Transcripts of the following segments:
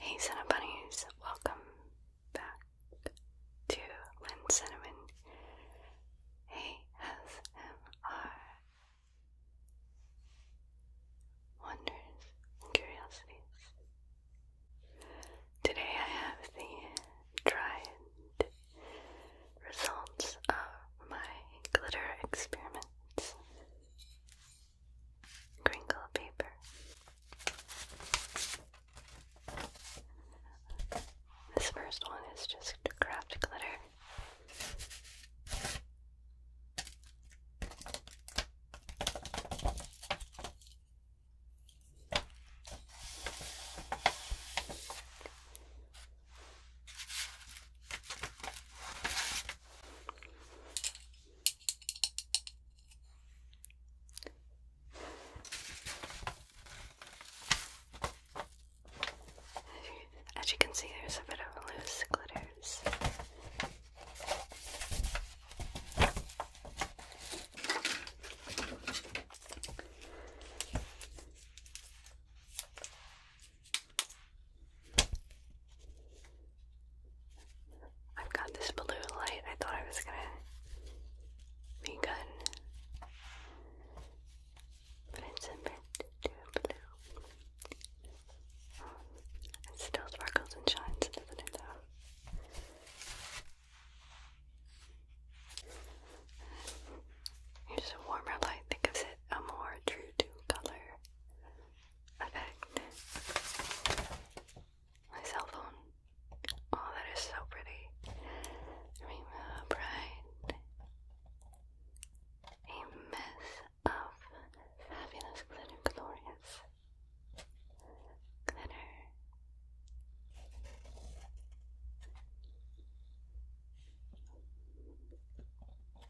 Hey Cinnabunnies, welcome back to Lynn Cinnamon ASMR Wonders Curiosities. Today I have the tried results of my glitter experiments crinkle paper. This first one is just craft glitter. As you can see, there's a bit of loose glitters. I've got this blue light. I thought I was gonna be good, but it's a bit blue. it still sparkles and shines, doesn't it? Though. Here's a warmer light that gives it a more true to color effect. My cell phone. Oh, that is so pretty. Dream of pride. A mess of fabulous glitter, glorious glitter.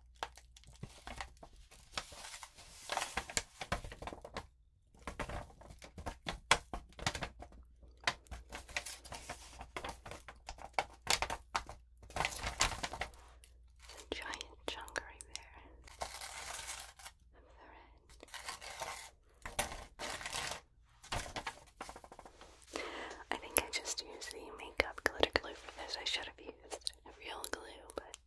A giant chunk right there I think I just used the makeup glitter glue for this. I should have used real glue, but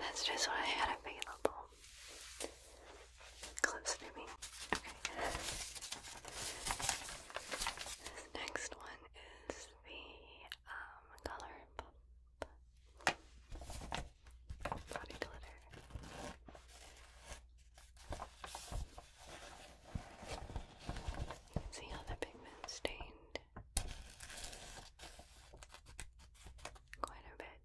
that's just what I had available. Close to Okay. This next one is the um, color pop body glitter. See how the pigment stained quite a bit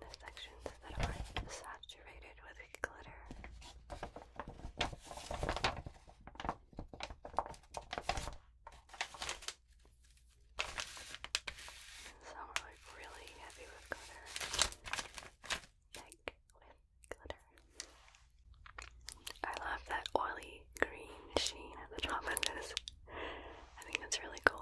the sections that are saturated with glitter. some are like really heavy with glitter, like with I love that oily green sheen at the top of this. I think that's really cool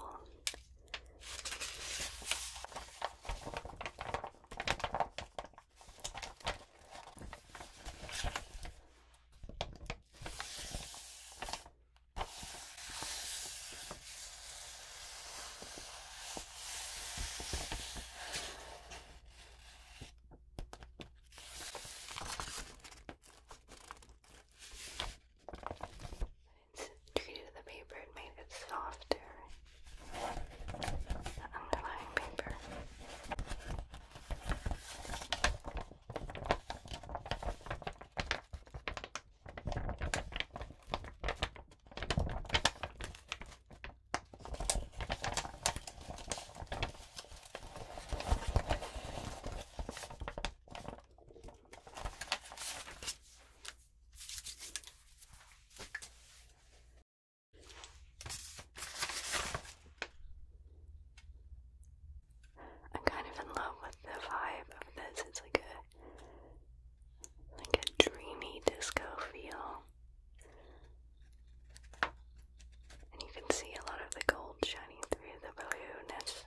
treated the paper and made it softer. The underlying paper. I'm kind of in love with the vibe of this. It's like a like a dreamy disco feel. And you can see a lot of the gold shining through the blueness,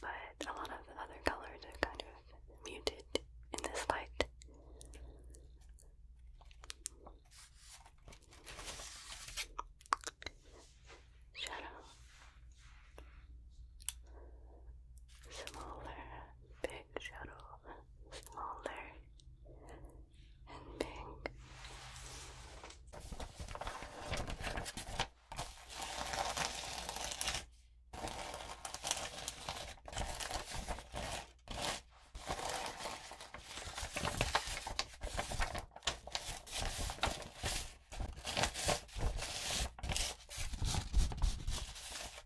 but a lot of other colors are kind of muted in this light. Shadow smaller, big shuttle, smaller and big.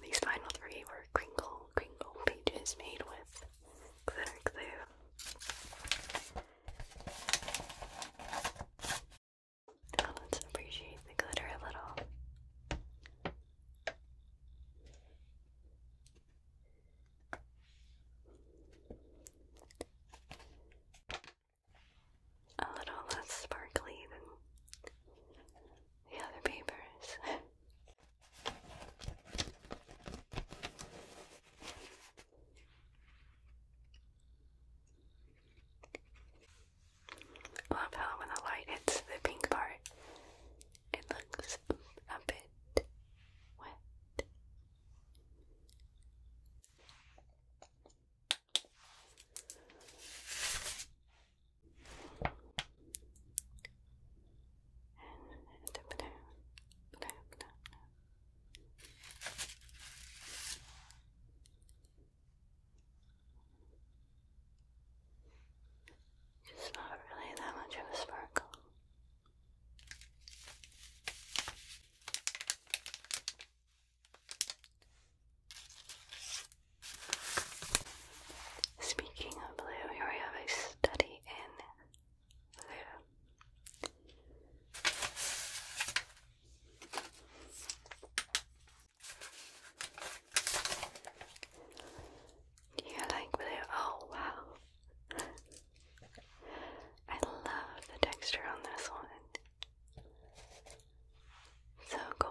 These final three were crinkle, crinkle pages made with glitter glue. let's appreciate the glitter a little. A little less sparkly than the other papers. love how when the light hits the pink part, it looks a bit wet. It's not really that much of a sparkle. Speaking of blue, here we have a study in blue. you like blue? Oh wow. I love the texture on this one. So cool.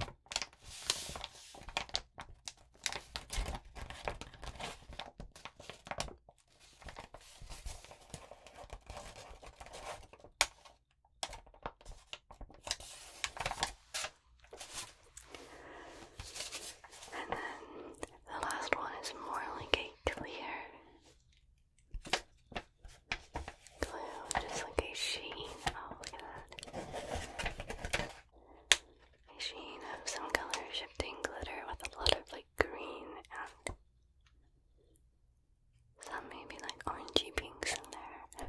And then the last one is more like a clear glue, just like a sheen. Oh, look at that. A sheen of some color shifting glitter with a lot of like green and some maybe like orangey pinks in there.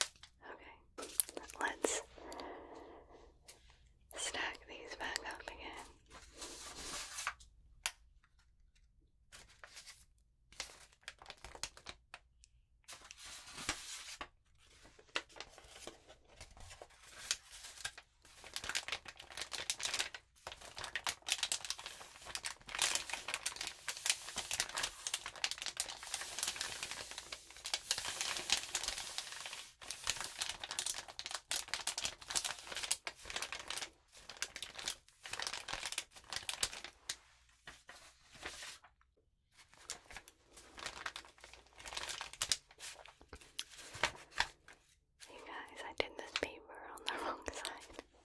Okay, let's stack these back up again. You guys, I did this paper on the wrong side.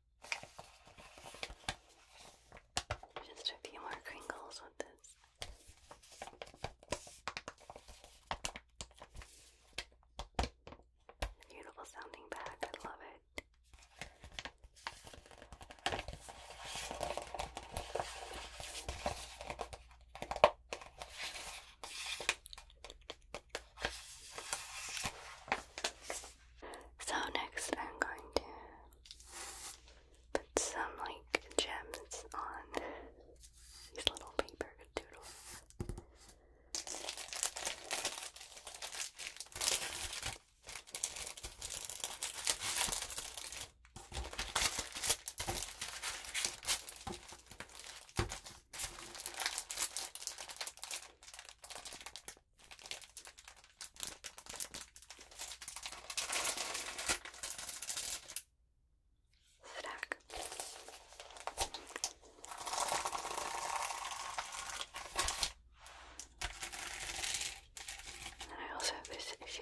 Just a few more crinkles with this. Beautiful sounding bag, I love it. So next I'm going to put some like gems on these little paper doodles. Zrak. And I also have this issue.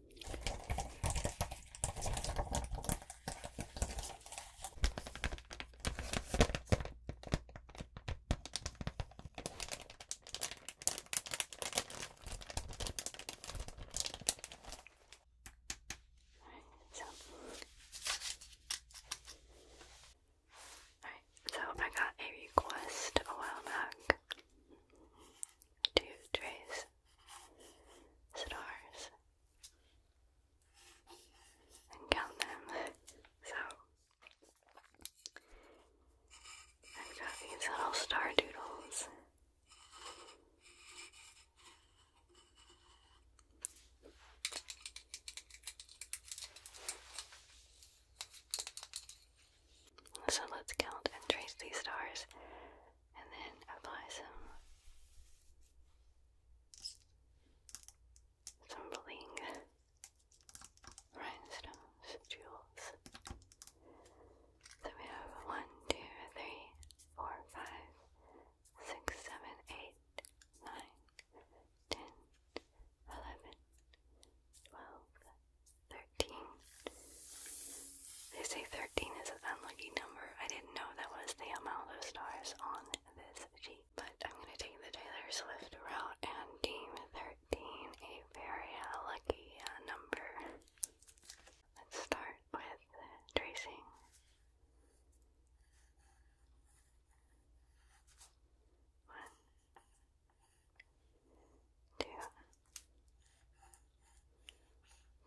Alright, so so I got a request a while back to trace stars and count them. So I've got these little star doodles. So let's count and trace these stars and then apply some some rhinestones, jewels. So we have one, two, three, four, five, six, seven, eight, nine, ten, eleven, twelve, thirteen. They say 13 13 is an unlucky number. I didn't know that was the amount of stars on this sheet. But I'm going to take the Taylor Swift route and deem 13 a very lucky uh, number. Let's start with tracing. One, two,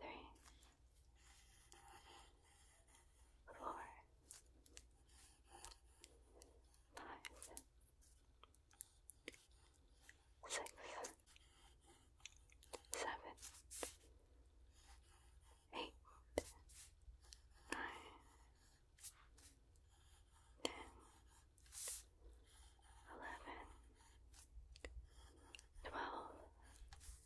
three, four, five, six, seven, eight, nine, ten, eleven, twelve. 13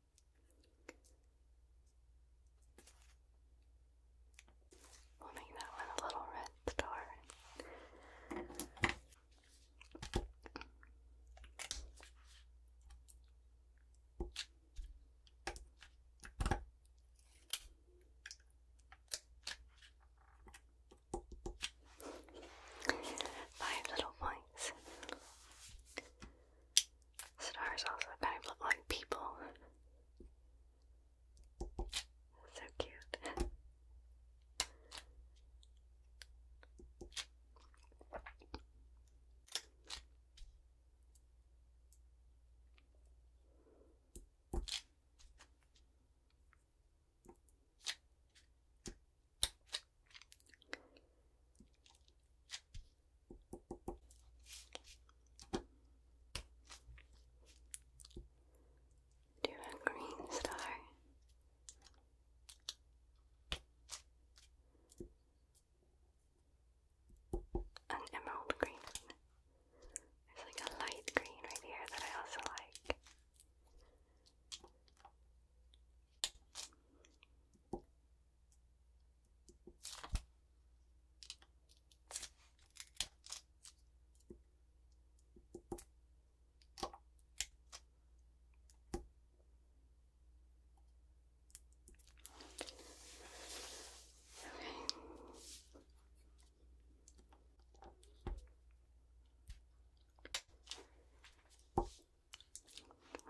We'll make that one a little red star. Five little points. Stars also kind of look like people. So cute. Do a green star. An emerald green. There's like a light green right here that I also like. I'll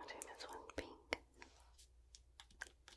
this one pink.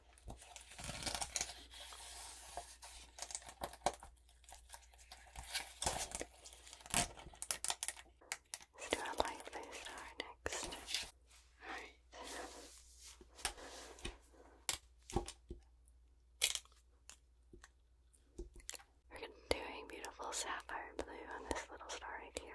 Let's do a light face star next. We're doing beautiful sapphire blue on this little star right here.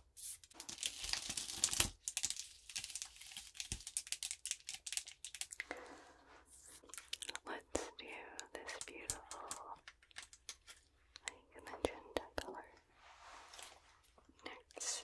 Let's do this beautiful, like magenta color next.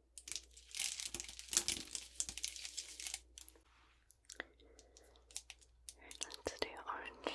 Let's do orange.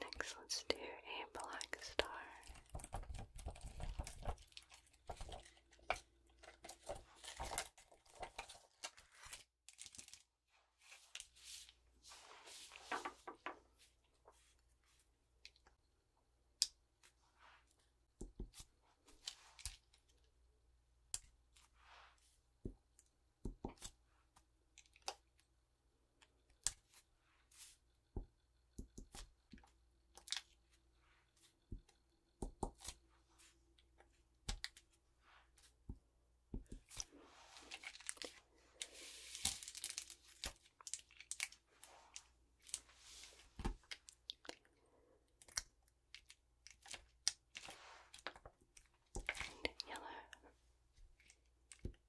Next, let's do a black star. And yellow.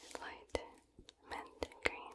It's light mint green.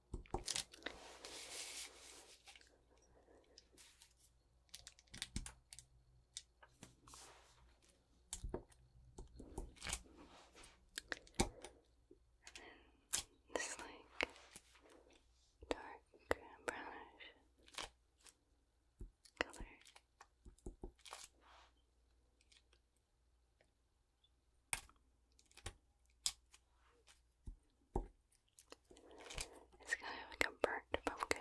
This like dark brownish color. It's kind of like a burnt pumpkin.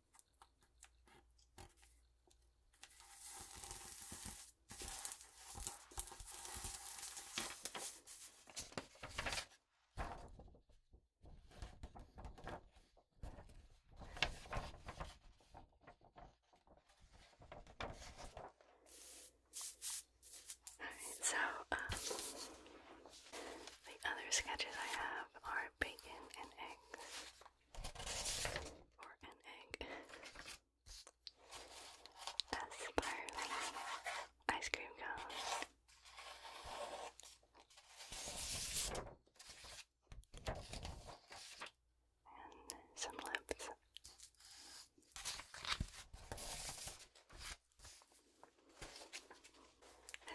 Alright, so um, the other sketches I have are bacon and eggs or an egg. A spiraling ice cream cone. And some lips. I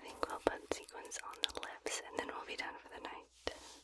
think we'll put sequins on the lips and then we'll be done for the night.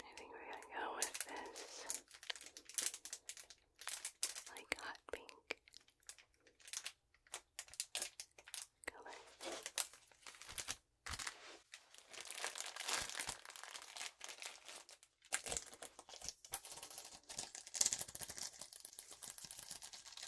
I think we're going to go with this like hot pink color.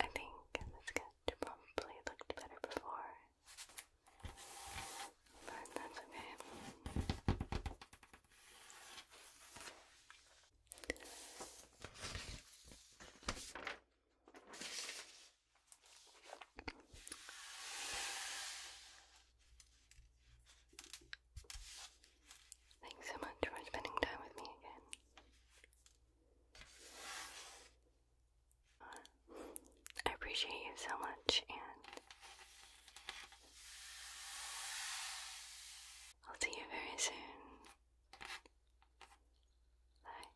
I think the sketch probably looked better before, but that's okay. Thanks so much for spending time with me again. Uh, I appreciate you so much, and I'll see you very soon. Bye.